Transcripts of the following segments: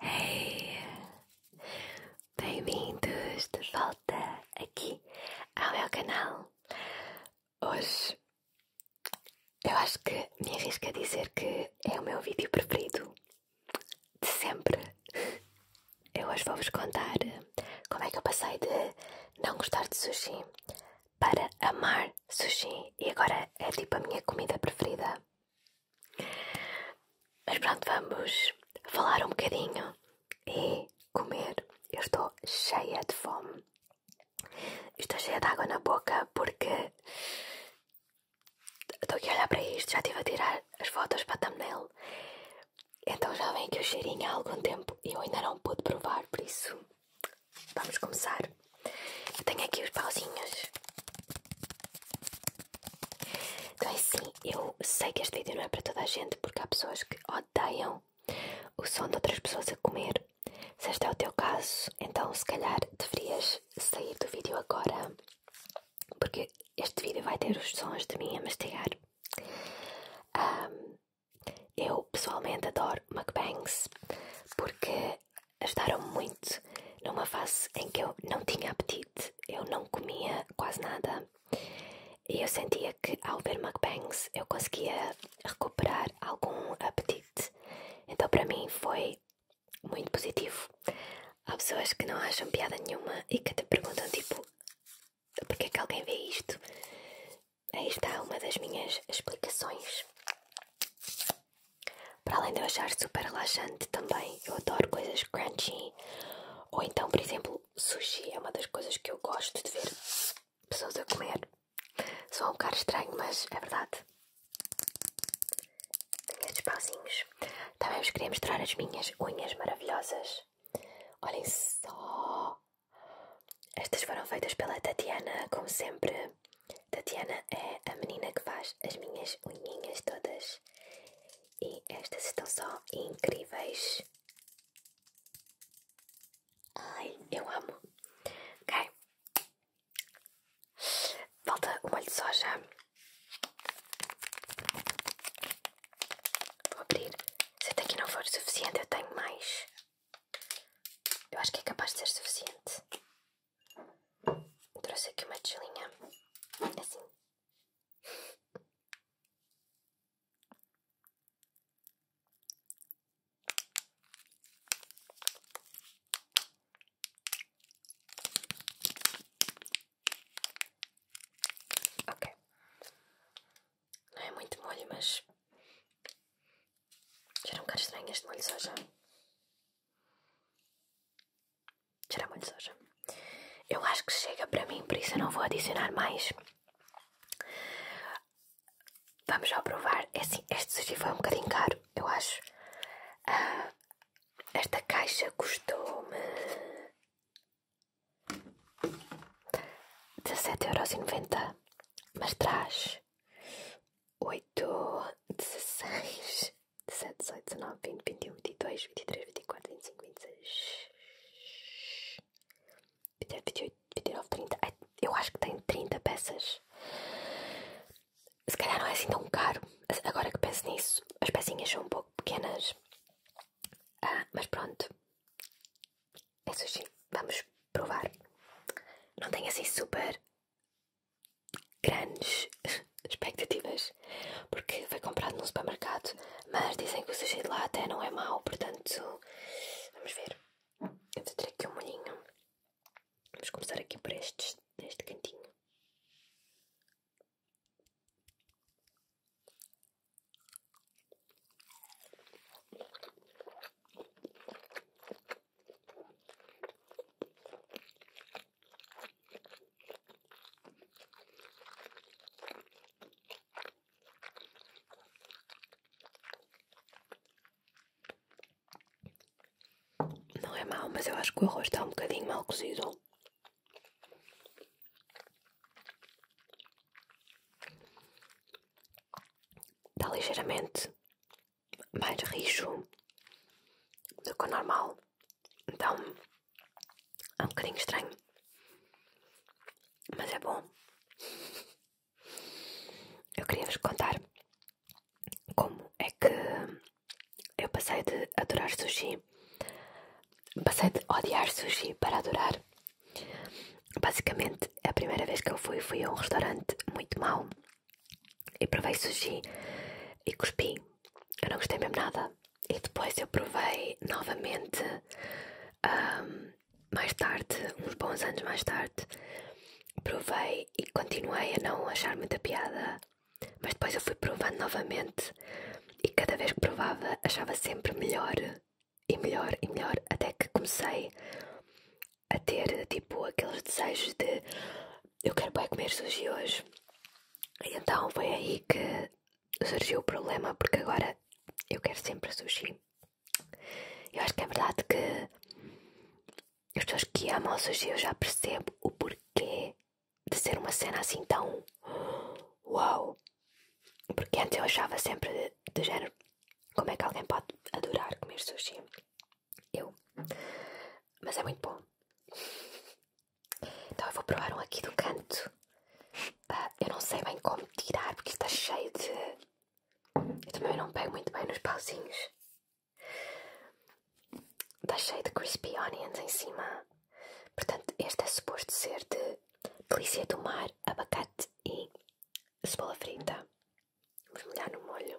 Hey! Bem-vindos de volta aqui ao meu canal. Hoje eu acho que me arrisco a dizer que é o meu vídeo preferido de sempre. Eu hoje vou-vos contar como é que eu passei de não gostar de sushi para amar sushi e agora é tipo a minha comida preferida. Mas pronto, vamos falar um bocadinho e comer. Eu estou cheia de fome. Estou cheia de água na boca porque estou aqui a olhar para isto. Já estive a tirar as fotos para a thumbnail. Então já vem aqui o cheirinho há algum tempo e eu ainda não pude provar, por isso vamos começar tenho aqui os pauzinhos. Então, é assim, eu sei que este vídeo não é para toda a gente, porque há pessoas que odeiam o som de outras pessoas a comer. Se este é o teu caso, então se calhar deverias sair do vídeo agora, porque este vídeo vai ter os sons de mim a mastigar. eu pessoalmente adoro mukbangs porque ajudaram me muito numa fase em que eu não tinha apetite, eu não comia quase nada e eu sentia que ao ver mukbangs eu conseguia recuperar algum apetite. Então para mim foi muito positivo. Há pessoas que não acham piada nenhuma e que te perguntam tipo porque é que alguém vê isto? Aí está uma das minhas explicações. Para além de eu achar super relaxante também, eu adoro coisas crunchy. Ou então, por exemplo, sushi é uma das coisas que eu gosto de ver pessoas a comer. Só um bocado estranho, mas é verdade. Tenho estes pauzinhos. Também vos queria mostrar as minhas unhas maravilhosas. Olhem só! Estas foram feitas pela Tatiana, como sempre. Tatiana é a menina que faz as minhas unhinhas todas e estas estão só incríveis. Ai, eu amo. Ok. Falta o molho de soja. Vou abrir. Se até aqui não for suficiente, eu tenho mais. Eu acho que é capaz de ser suficiente. Trouxe aqui uma tilinha é assim. Ok, não é muito molho, mas. Era um bocado estranho este molho só já tirar muito soja. Eu acho que chega para mim, por isso eu não vou adicionar mais. Vamos já provar. É assim, este sushi foi um bocadinho caro, eu acho. Ah, esta caixa custou-me 17,90€, mas traz 8, 16, 17, 18, 19, 20, 21, 22, 23, 24, 25, 26, 27, 28, 29, 30. Eu acho que tem 30 peças. Se calhar não é assim tão caro. Agora que penso nisso, as pecinhas são um pouco pequenas. Ah, mas pronto. É sushi. Vamos provar. Não tem assim super grandes expectativas, porque foi comprado num supermercado, mas dizem que o sushi lá até não é mau, portanto, vamos ver. Eu vou ter aqui um molhinho. Vamos começar aqui por este cantinho. Não é mal, mas eu acho que o arroz está um bocadinho mal cozido. Está ligeiramente mais rijo do que o normal. Então é um bocadinho estranho. Mas é bom. Eu queria vos contar como é que eu passei de adorar sushi, passei de odiar sushi para adorar. Basicamente, a primeira vez que eu fui, fui a um restaurante muito mau e provei sushi e cuspi. Eu não gostei mesmo nada. E depois eu provei novamente, mais tarde, uns bons anos mais tarde, provei e continuei a não achar muita piada. Mas depois eu fui provando novamente e cada vez que provava achava sempre melhor e melhor e melhor até que comecei a ter tipo aqueles desejos de eu quero bem comer sushi hoje. E então foi aí que surgiu o problema, porque agora eu quero sempre sushi. Eu acho que é verdade que as pessoas que amam sushi eu já percebo o porquê de ser uma cena assim tão uau. Porque antes eu achava sempre do género como é que alguém pode adorar comer sushi? Eu. Mas é muito bom. Então eu vou provar um aqui do canto. Ah, eu não sei bem como tirar porque está cheio de. Eu também não pego muito bem nos pauzinhos. Está cheio de crispy onions em cima. Portanto, este é suposto ser de delícia do mar, abacate e cebola frita. Vamos molhar no molho.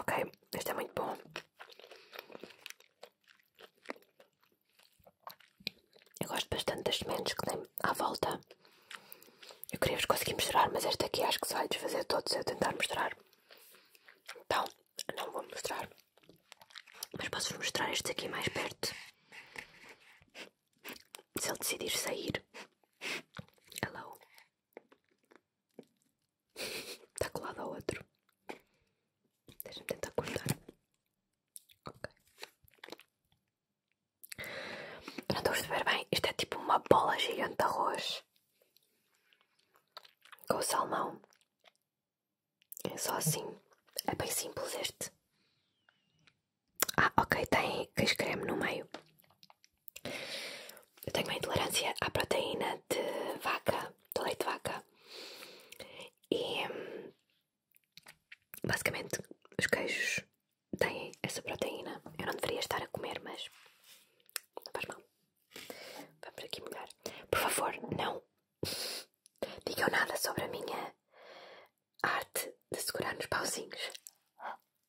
Ok, este é muito bom. Eu gosto bastante das sementes que tem à volta. Eu queria vos conseguir mostrar, mas este aqui acho que se vai desfazer todos se eu tentar mostrar. Então, não vou mostrar. Mas posso-vos mostrar este aqui mais perto. Se ele decidir sair. Hello. Está colado ao outro. Deixa-me tentar cortar. Ok. Não estou a perceber bem. Isto é tipo uma bola gigante de arroz. Com salmão. É só assim. É bem simples este. Ah, ok, tem queijo creme no meio. Eu tenho uma intolerância à proteína de vaca, do leite de vaca. E hum, basicamente os queijos têm essa proteína. Eu não deveria estar a comer, mas não faz mal. Vamos aqui melhor. Por favor, não digam nada sobre a minha arte de segurar nos pauzinhos.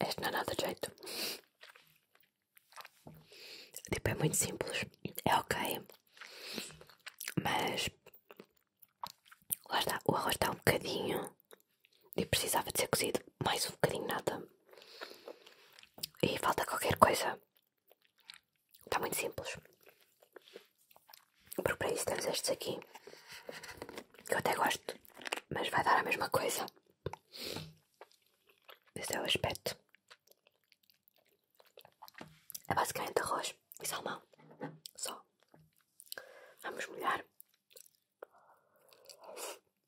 Este não é nada de jeito. Tipo, é muito simples. É ok. Mas. Lá está. O arroz está um bocadinho. E precisava de ser cozido mais um bocadinho, nada. E falta qualquer coisa. Está muito simples. Porque para isso temos estes aqui. Que eu até gosto. Mas vai dar a mesma coisa. Esse é o aspecto. É basicamente arroz e salmão. Só. Vamos molhar.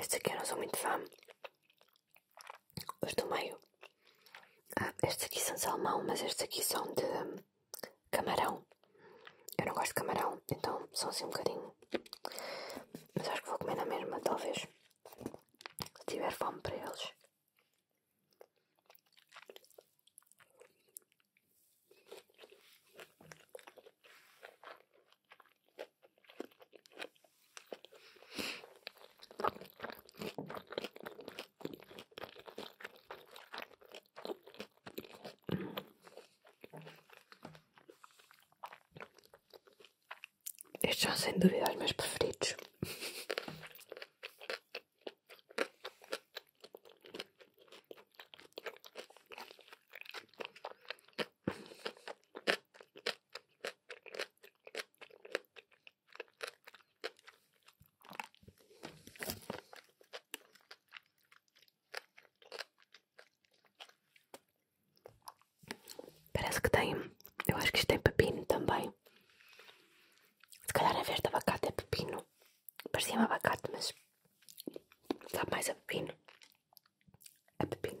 Estes aqui eu não sou muito fã. Os do meio. Ah, estes aqui são salmão, mas estes aqui são de hum, camarão. Eu não gosto de camarão, então são assim um bocadinho. Mas acho que vou comer na mesma, talvez. Se tiver fome para eles. Estes são sem dúvida os meus preferidos. Parece que tem, eu acho que isto tem pepino também. Se calhar a verde abacate é pepino. Parecia-me abacate, mas está mais a pepino. é pepino.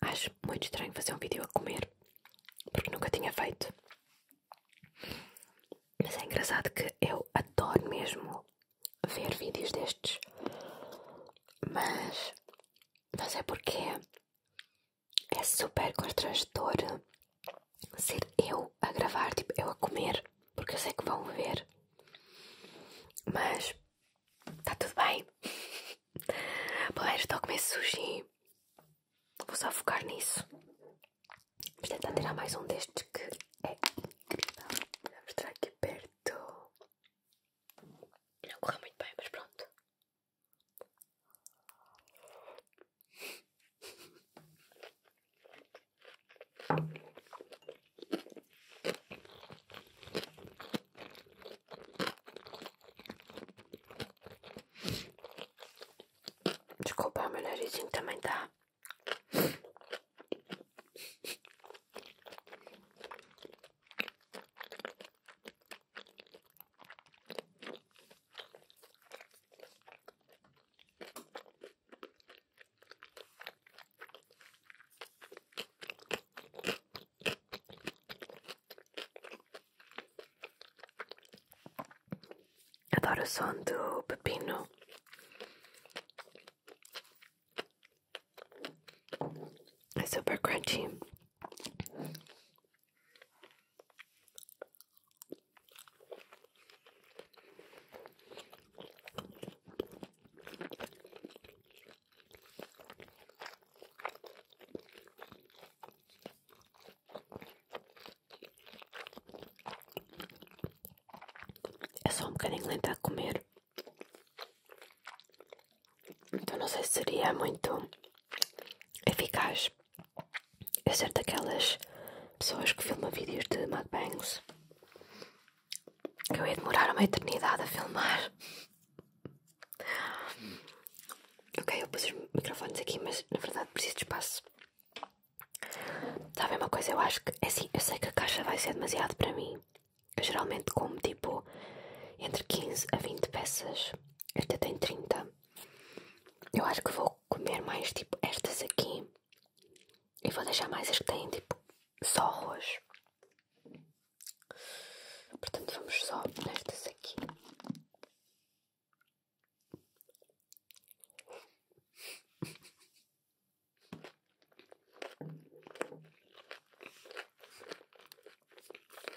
Acho muito estranho fazer um vídeo a comer, porque nunca tinha feito. Mas é engraçado que eu adoro mesmo ver vídeos destes, mas não sei porquê é super constrangedor eh, ser eu a gravar, tipo, eu a comer, porque eu sei que vão ver. Mas está tudo bem. Pelo menos estou a comer sushi. Vou só focar nisso. Vamos tentar tirar mais um destes que é incrível. Vou mostrar aqui perto. Não correu muito bem, mas pronto. Desculpa, meu narizinho também tá. Adoro o som do pepino. It's super crunchy. É só um bocadinho lenta a comer. Então não sei se seria muito eficaz eu é ser daquelas pessoas que filmam vídeos de mukbangs que eu ia demorar uma eternidade a filmar. Ok, eu pus os microfones aqui, mas na verdade preciso de espaço. Sabem uma coisa? Eu acho que, é assim, eu sei que a caixa vai ser demasiado para mim. geralmente como tipo entre 15 a 20 peças esta tem 30. Eu acho que vou comer mais tipo estas aqui. E vou deixar mais as que têm tipo só arroz. Portanto, vamos só nestas aqui.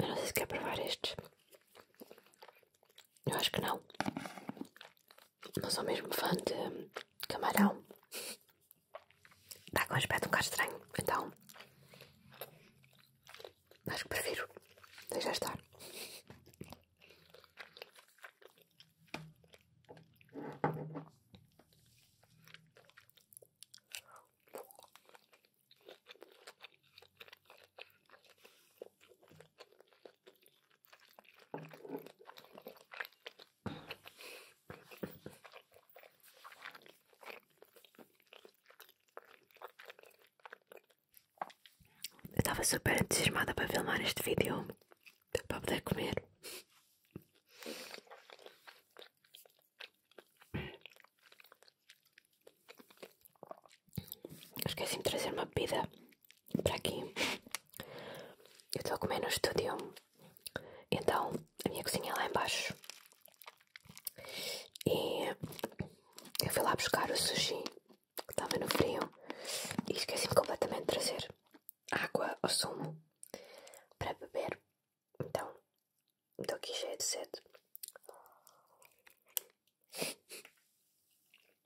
Eu não sei se quer provar este. Eu acho que não. Não sou mesmo fã de camarão. Está com um aspecto um bocado estranho. Então. Acho que prefiro deixar estar. Eu estava super entusiasmada para filmar este vídeo para poder comer. Esqueci-me de trazer uma bebida para aqui. Eu estou a comer no estúdio, então a minha cozinha é lá embaixo. E eu fui lá buscar o sushi que estava no frio e esqueci-me completamente de trazer água ou sumo para beber. Então estou aqui cheia de sede.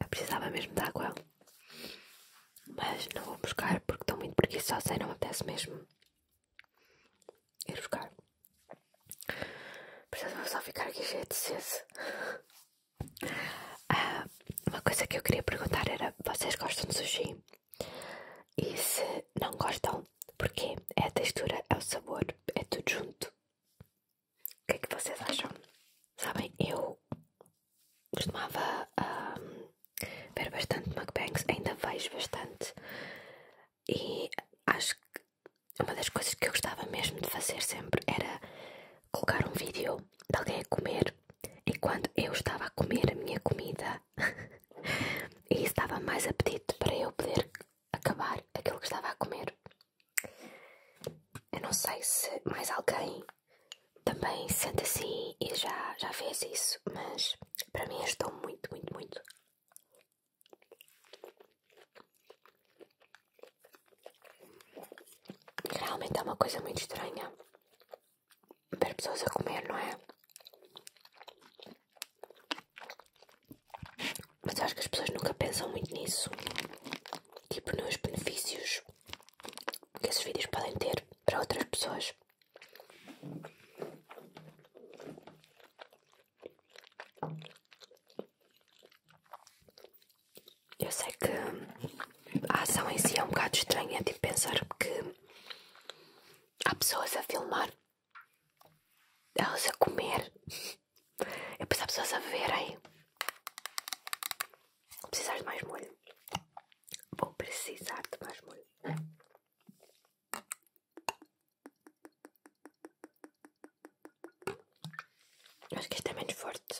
Eu precisava mesmo de água, mas não vou buscar porque estou muito preguiçosa e não acontece mesmo ir buscar. Portanto, só ficar aqui cheia de cesso. Ah, uma coisa que eu queria perguntar era: vocês gostam de sushi? E se não gostam, porquê? É a textura, é o sabor, é tudo junto. O que é que vocês acham? Sabem, eu costumava um, ah, ver bastante mukbangs, ainda vejo bastante e acho que uma das coisas que eu gostava mesmo de fazer sempre era colocar um vídeo de alguém a comer e quando eu estava a comer a minha comida e isso dava mais apetite para eu poder acabar aquilo que estava a comer. Eu não sei se mais alguém também sente assim e já, já fez isso, mas para mim estão muito, muito, muito. Realmente é uma coisa muito estranha para pessoas a comer, não é? Mas acho que as pessoas nunca pensam muito nisso. Tipo, nos benefícios que esses vídeos podem ter para outras pessoas. Eu sei que a ação em si é um bocado estranha de tipo, pensar que há pessoas a filmar, elas a comer, e depois há pessoas a verem. Vou precisar de mais molho. Vou precisar de mais molho. Acho que este é menos forte.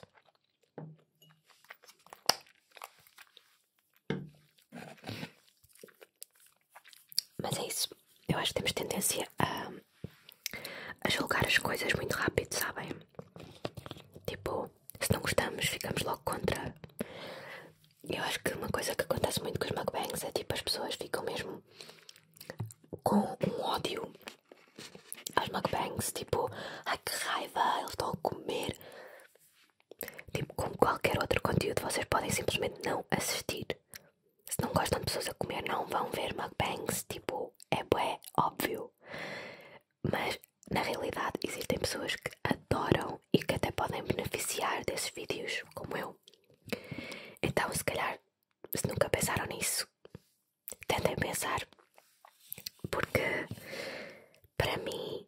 Mas é isso. Eu acho que temos tendência a, a julgar as coisas muito rápido, sabem? Tipo, se não gostamos, ficamos logo contra. Eu acho que uma coisa que acontece muito com os mukbangs é tipo as pessoas ficam mesmo com um ódio aos mukbangs, tipo, ai que raiva, eles estão a comer. Tipo, como qualquer outro conteúdo, vocês podem simplesmente não assistir. Se não gostam de pessoas a comer, não vão ver mukbangs, tipo, é bué, óbvio. Mas na realidade existem pessoas que adoram e que até podem beneficiar desses vídeos, como eu. Então, se calhar, se nunca pensaram nisso, tentem pensar, porque para mim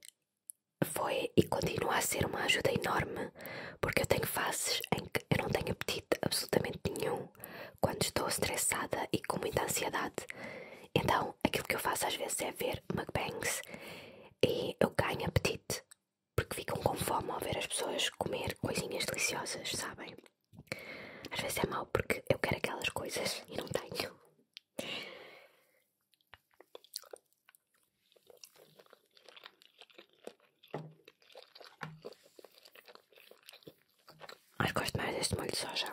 foi e continua a ser uma ajuda enorme, porque eu tenho fases em que eu não tenho apetite absolutamente nenhum quando estou estressada e com muita ansiedade. Então, aquilo que eu faço às vezes é ver mukbangs e eu ganho apetite, porque ficam com fome ao ver as pessoas comer coisinhas deliciosas, sabem? Às vezes é mau porque eu quero aquelas coisas e não tenho. Mas gosto mais deste molho de soja.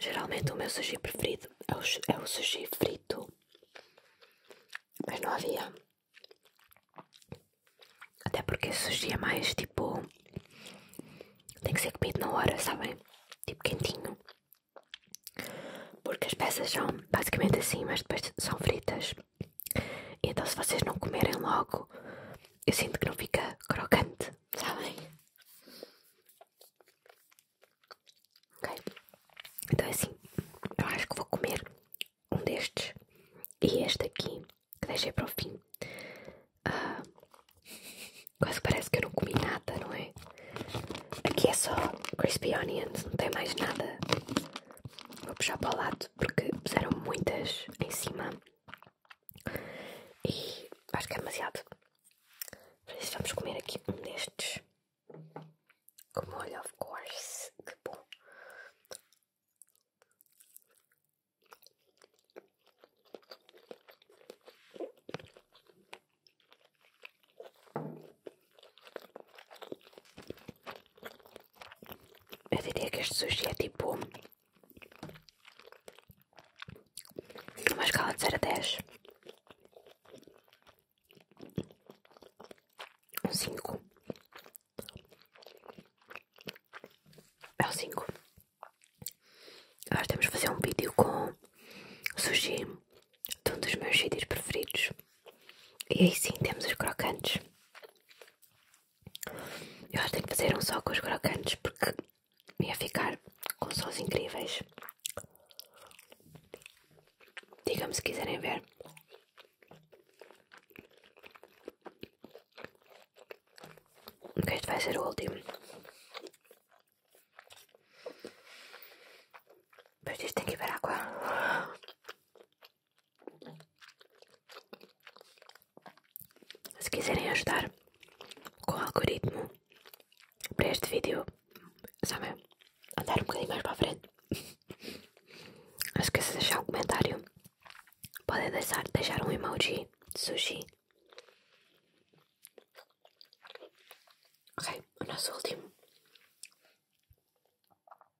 Geralmente o meu sushi preferido é o, é o sushi frito, mas não havia. Até porque sushi é mais tipo. tem que ser comido na hora, sabem? Tipo quentinho. Porque as peças são basicamente assim, mas depois são fritas. Então, se vocês não comerem logo, eu sinto que não fica crocante, sabem? Ok? Então, é assim, eu acho que vou comer um destes e este aqui, que deixei para o fim. Ah, quase parece que eu não comi nada, não é? Aqui é só crispy onions, não tem mais nada. Vou puxar para o lado porque puseram muitas em cima e acho que é demasiado. vamos comer aqui um destes. Com molho, of course. Que bom. Eu diria que este sushi é tipo. Uma escala de 0 a 10. Um 5. É o 5. Agora temos de fazer um vídeo com sushi de um dos meus sítios preferidos. E aí sim temos os crocantes. Eu acho que tenho que fazer um só com os crocantes porque ia ficar com sons incríveis. digam se quiserem ver. Ok, este vai ser o último. Mas isto tem que ir ver água. Se quiserem ajudar com o algoritmo para este vídeo, sabe, andar um bocadinho mais para a frente, não esqueça de deixar um comentário. Podem deixar, deixar um emoji de sushi. Ok, o nosso último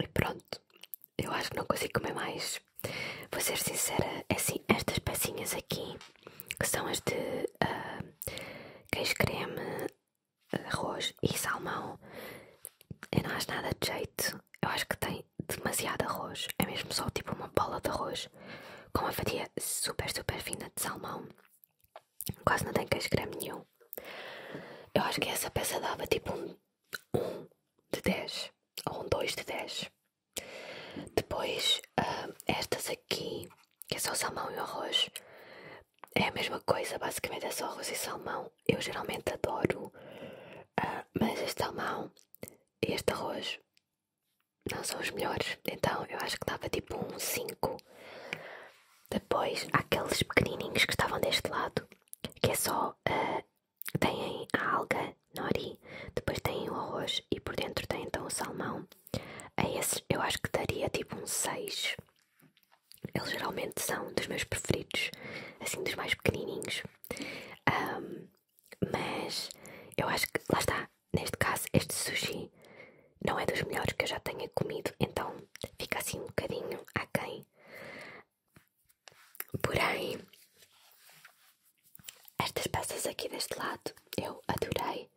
E pronto, eu acho que não consigo comer mais. Vou ser sincera, é assim, estas pecinhas aqui, que são as de uh, ah, queijo creme, arroz e salmão, eu não acho nada de jeito. Eu acho que tem demasiado arroz. É mesmo só tipo uma bola de arroz com uma fatia super, super fina de salmão. Quase não tem queixo creme nenhum. Eu acho que essa peça dava tipo um 1 de 10 ou um 2 de 10. Depois, ah, estas aqui que é só salmão e arroz. É a mesma coisa, basicamente é só arroz e salmão. Eu geralmente adoro, ah, mas este salmão e este arroz não são os melhores. Então eu acho que dava tipo um 5. Depois há aqueles pequenininhos que estavam deste lado, que é só. Uh, a alga, nori, depois tem o arroz e por dentro tem então o salmão a é esses eu acho que daria tipo um 6. Eles geralmente são dos meus preferidos, assim dos mais pequenininhos. mas eu acho que, lá está, neste caso, este sushi não é dos melhores que eu já tenha comido, então fica assim um bocadinho aquém. Porém, estas peças aqui deste lado eu adorei.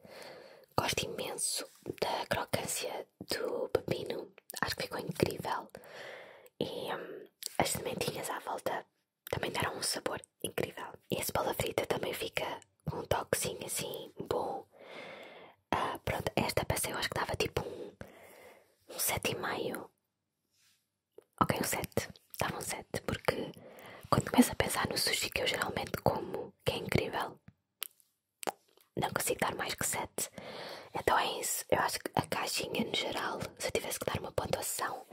Gosto imenso da crocância do pepino, acho que ficou incrível. E hum, as sementinhas à volta também deram um sabor incrível. E a cebola frita também fica com um toquezinho assim bom. Ah, pronto, esta passei, eu acho que dava tipo um, um 7,5. Ok, um 7. Dava um 7, porque quando começo a pensar no sushi que eu geralmente como, que é incrível, não consigo dar mais que 7. Então é isso. Eu acho que a caixinha no geral, se eu tivesse que dar uma pontuação,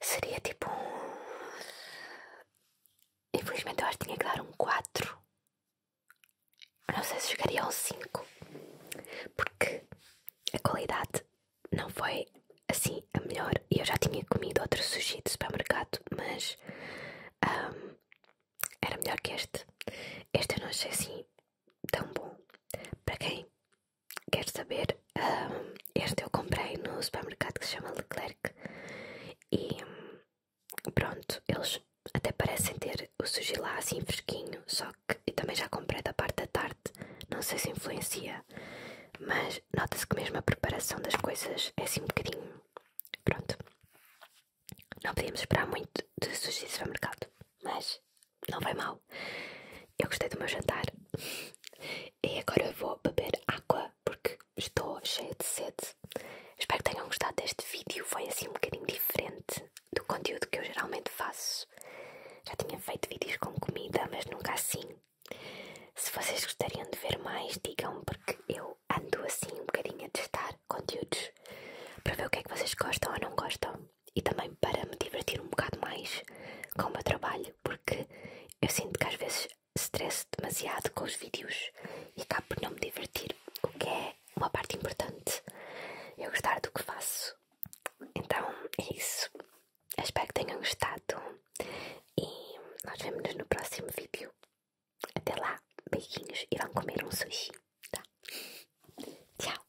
seria tipo um. Infelizmente eu acho que tinha que dar um 4. Não sei se chegaria a um 5. Porque a qualidade não foi assim a melhor eu já tinha comido outro sushi de supermercado, mas era melhor que este. Este eu não achei assim tão bom. Para quem quer saber, este eu comprei no supermercado que se chama Leclerc e pronto, eles até parecem ter o sushi lá assim fresquinho, só que também já comprei da parte da tarde, não sei se influencia, mas nota-se que mesmo a preparação das coisas é assim um bocadinho Pronto. Não podíamos esperar muito de sushi de supermercado, mas não vai mal. Eu gostei do meu jantar e agora vou beber água porque estou cheia de sede. Espero que tenham gostado deste vídeo. Foi assim um bocadinho diferente do conteúdo que eu geralmente faço. Já tinha feito vídeos com comida, mas nunca assim. Se vocês gostariam de ver mais, digam, porque eu ando assim um bocadinho a testar conteúdos para ver o que é que vocês gostam ou não gostam e também para me divertir um bocado mais com o meu trabalho, porque eu sinto que às vezes estresso demasiado com os vídeos e acabo por não me divertir, o que é uma parte importante. Eu gostar do que faço. Então é isso. espero que tenham gostado. E nós vemos no próximo vídeo. Até lá, beijinhos e vão comer um sushi, tá? Tchau!